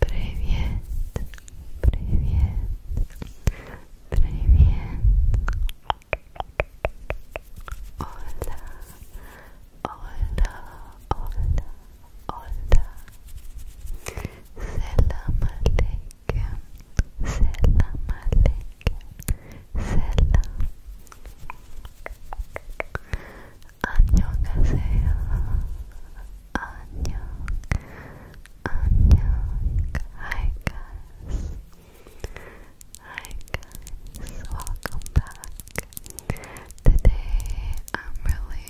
Привет, привет, привет. Hola, hola, hola, hola. Selam alaikum, selam alaikum, selam. Hi guys. Hi guys. Welcome back. Today I'm really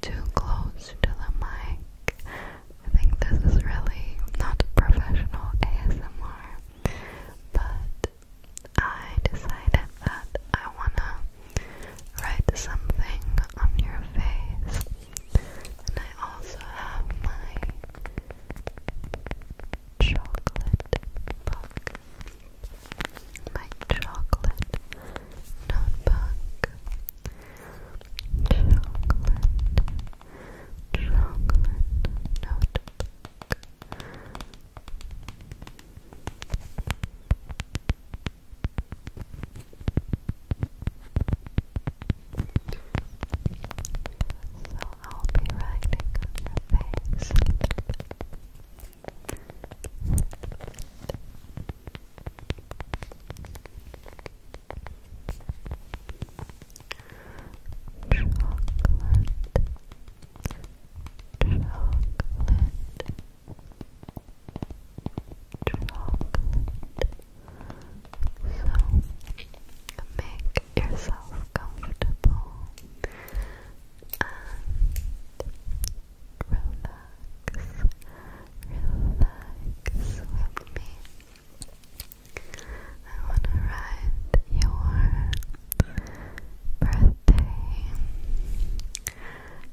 too close to the mic. I think this is really not professional ASMR, but I decided that I wanna write something on your face, and I also have my chocolate book, my chocolate notebook, chocolate, chocolate notebook. So I'll be writing on Chocolate. So make yourself comfortable and relax, relax with me. I want to ride your birthday.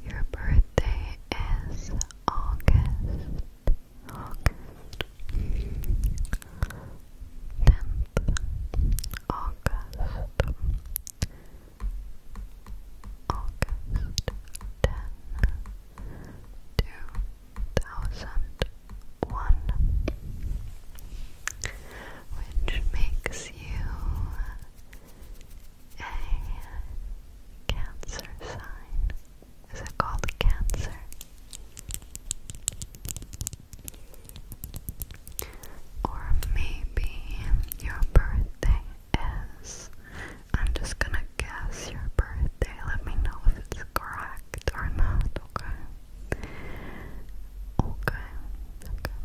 Your birthday is August. August. 10th. August. August 10, which makes you a cancer sign. Is it called cancer? Or maybe your birthday is. I'm just gonna guess your birthday. Let me know if it's correct or not, okay? Okay, okay.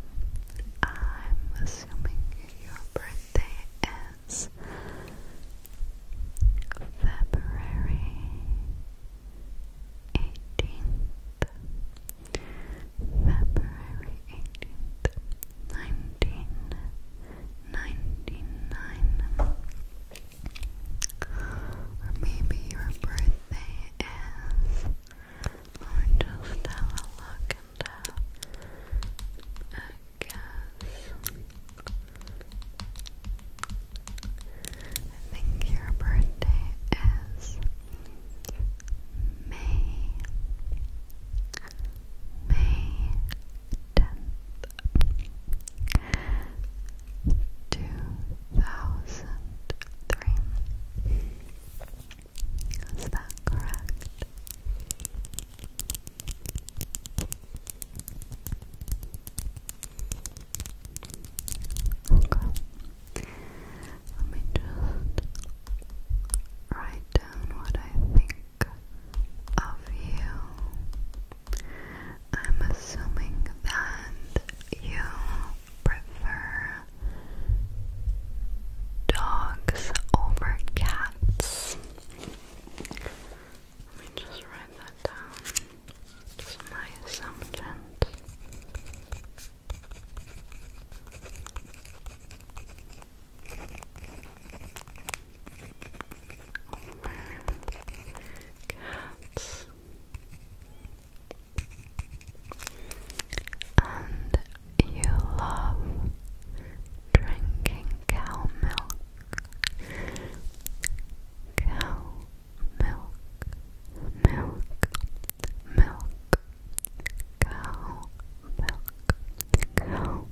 I'm assuming your birthday is February 18th, February 18th, 1999. maybe your birthday is or just have a look and guess. I think your birthday is May May tenth two thousand three. Is that correct? Okay. Let me just write down what I think of you. I'm assuming that you prefer dogs over cats. Let me just write that down. Just my assumptions. Over cats. And you love drinking cow milk. Cow milk, milk, milk, cow milk, cow milk. Drinking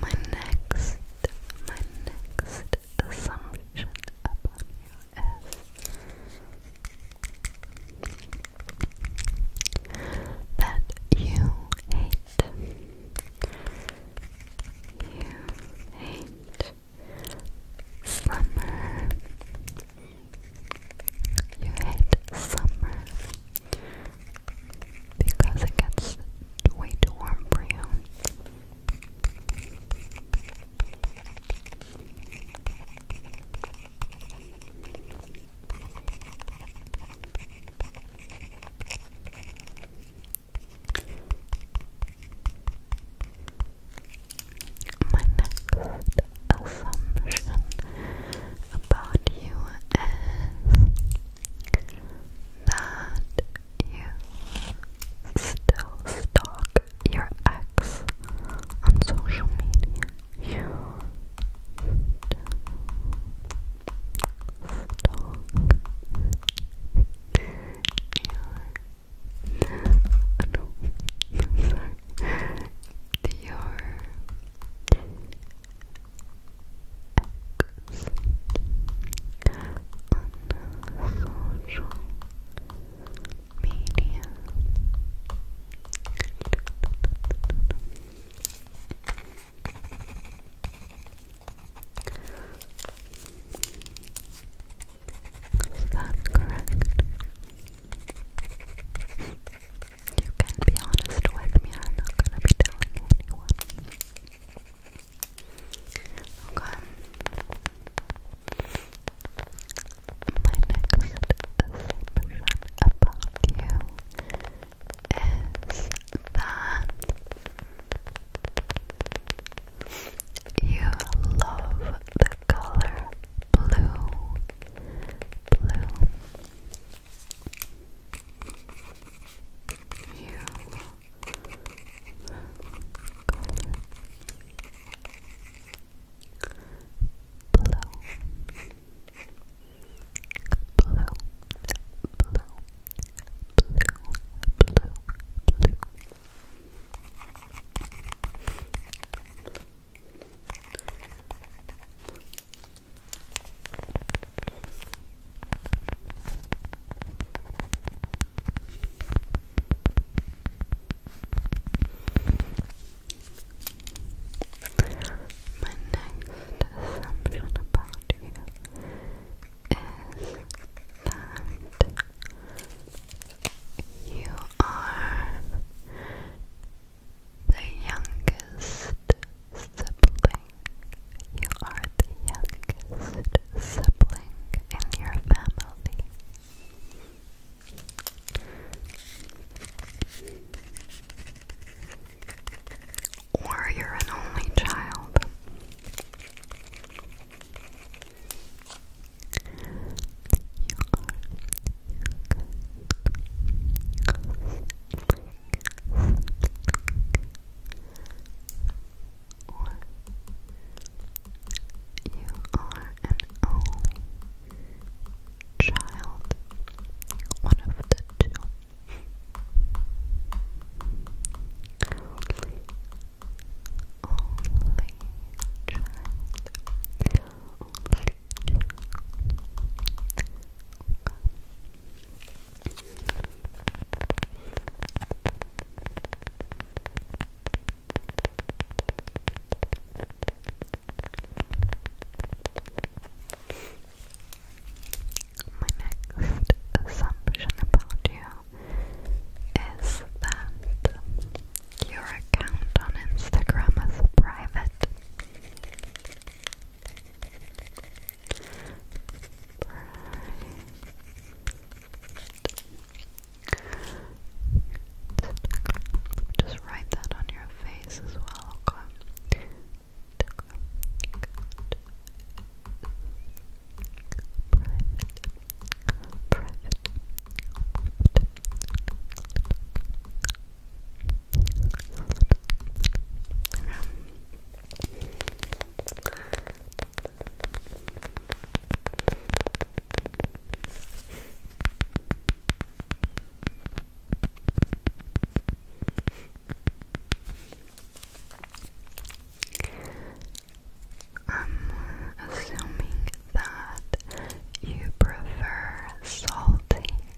My next, my next assumption about you is that you hate, you hate summer, you hate summer because it gets way too warm for My next assumption about you is that you still stalk your ex on social media. You stalk your no, sorry. Your on social Is that correct? You can be honest with me, I'm not gonna be telling anyone. Okay. My next assumption about you is that you love the color blue. Blue. You blow, blow, blow, blow, blow, blow. Blow, blow, my next assumption about you is that you are the youngest sibling. You are the youngest sibling in your family. Or you're an only child or you are an old child, one of the Only, only child, only my next assumption about you is that your account on Instagram is private. Just write that on your face as well, okay? Private. Private. I'm assuming that you prefer salty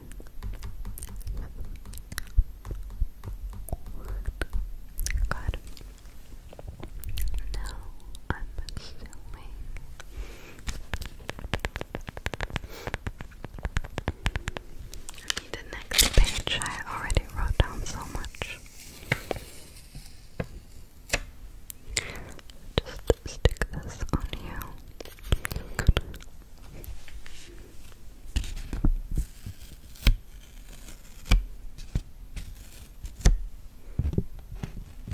God. Now I'm assuming I the next page. I already wrote down so much. Just stick this on you. Good.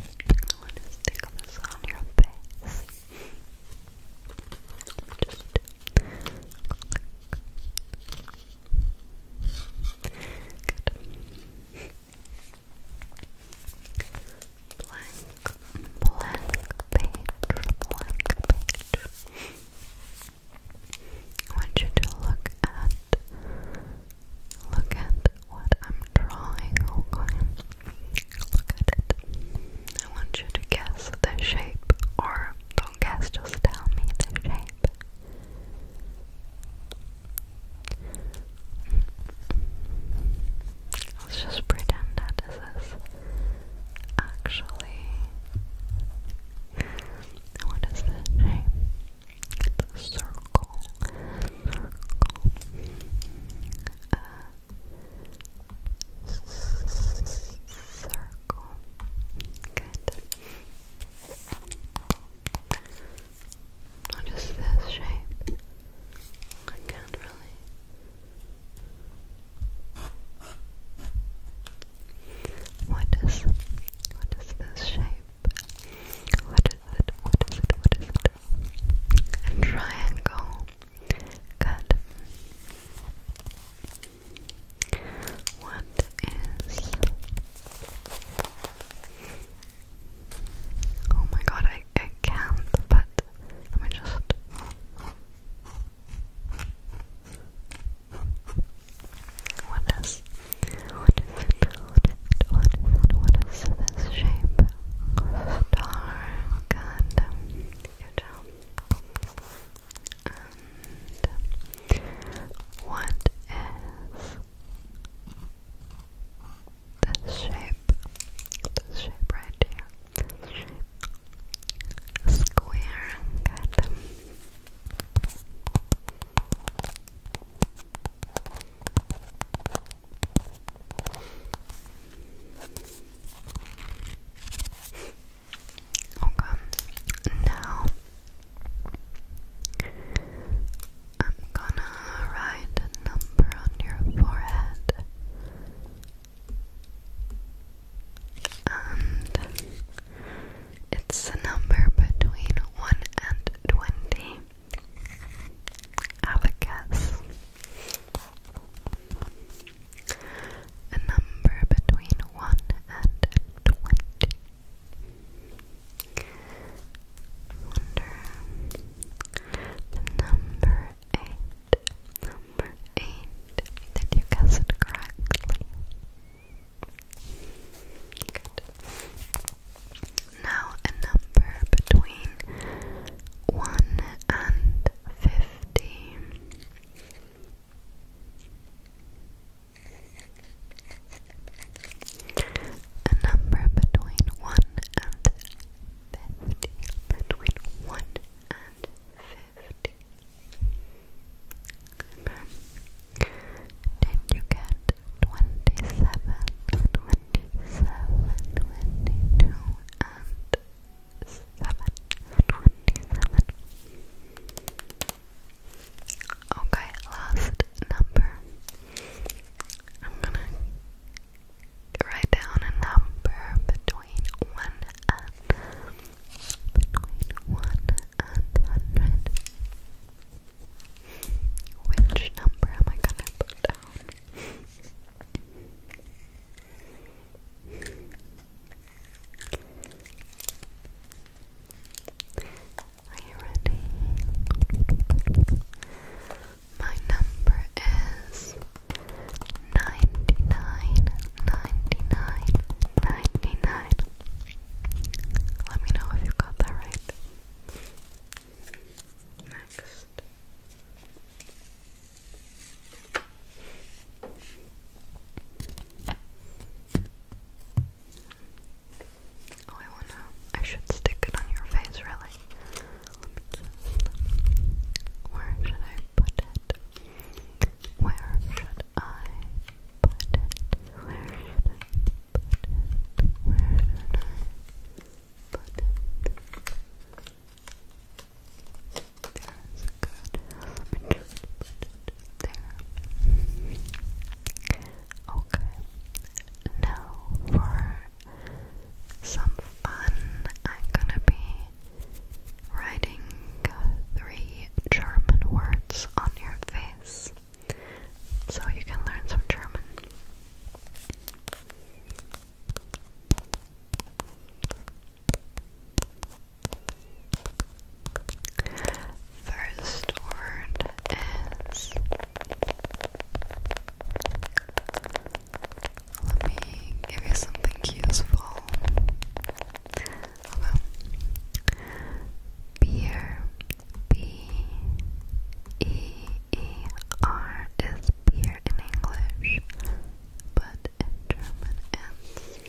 I want to stick this on your face. Just Good blank, blank page, blank page. I want you to look at, look at what I'm drawing, Look at it. I want you to guess the shape, or don't guess, just tell me the shape. Let's just pretend that this is actually. What is this name? circle. circle. Good. What is this shape? I can't really what is what is this shape? What is it? What is it? What is it? A triangle. Good. What is Oh my god, I, I can't, but let me just. What is, what is what is this shape? Star, um, good, what is this shape, this shape right here, square, Okay, now I'm gonna write a number on your forehead and it's a number between 1 and 20. Have a guess. A number between 1 and 20. Wonder the number eight. Number eight. Did you guess it correctly? Good. Now a number between one and fifty. A number between one and fifty, between one and fifty. Okay. you get twenty-seven, twenty-seven, twenty-two, and seven, twenty-seven. Okay, last number. I'm gonna write down a number between one and between one and hundred. Which number am I gonna put down? Are you ready? My number is 99 Let me know if you got that right. Next. Oh, I wanna. I should stick it on your face, really. Where should I put it? Where should I put it? Where should I put it? Where should I put it? That's good. Let me just put it there. Okay. Now for some fun. I'm gonna be writing three German words on your face so you can learn some German. First word is let me give you something useful. Beer. B E E R is beer in English, but in German it's.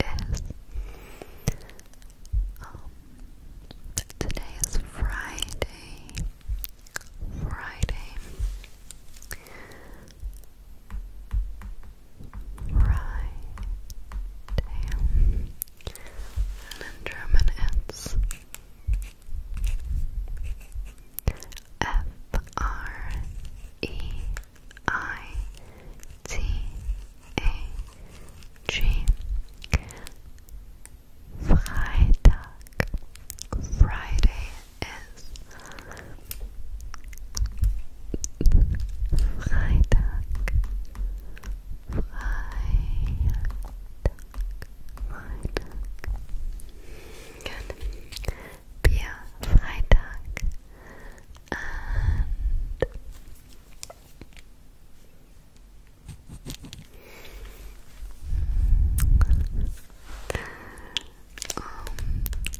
is. Um, today is Friday. Friday. Friday. And in German it's F R E I T A G Freitag Friday is Freitag Freitag Bier Freitag um,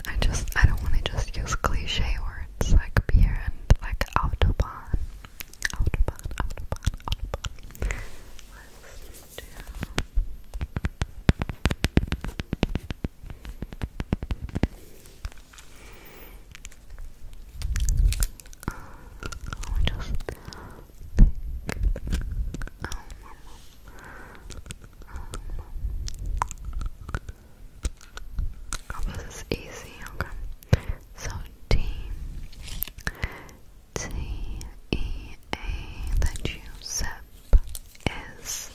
I just I don't want to just use cliche words like beer and like autobahn, autobahn, autobahn, autobahn. Uh, oh, I'll just pick this is easy, okay. So T T E A that you sip is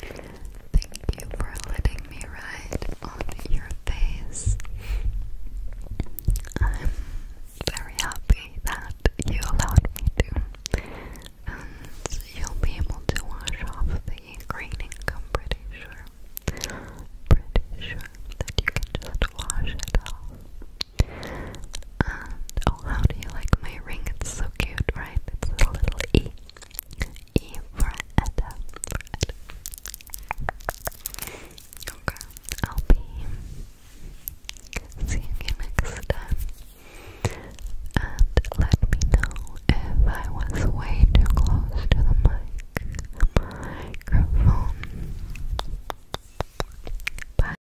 Thank you for letting me ride on your face. I'm very happy that you allowed me to, you'll be able to wash off the graining, I'm pretty sure. Pretty sure that you can just wash it off oh, how do you like my ring? It's so cute, right? It's a little E. E for Edda. Okay, I'll be seeing you next time. And let me know if I was way too close to the mic. Microphone. Bye.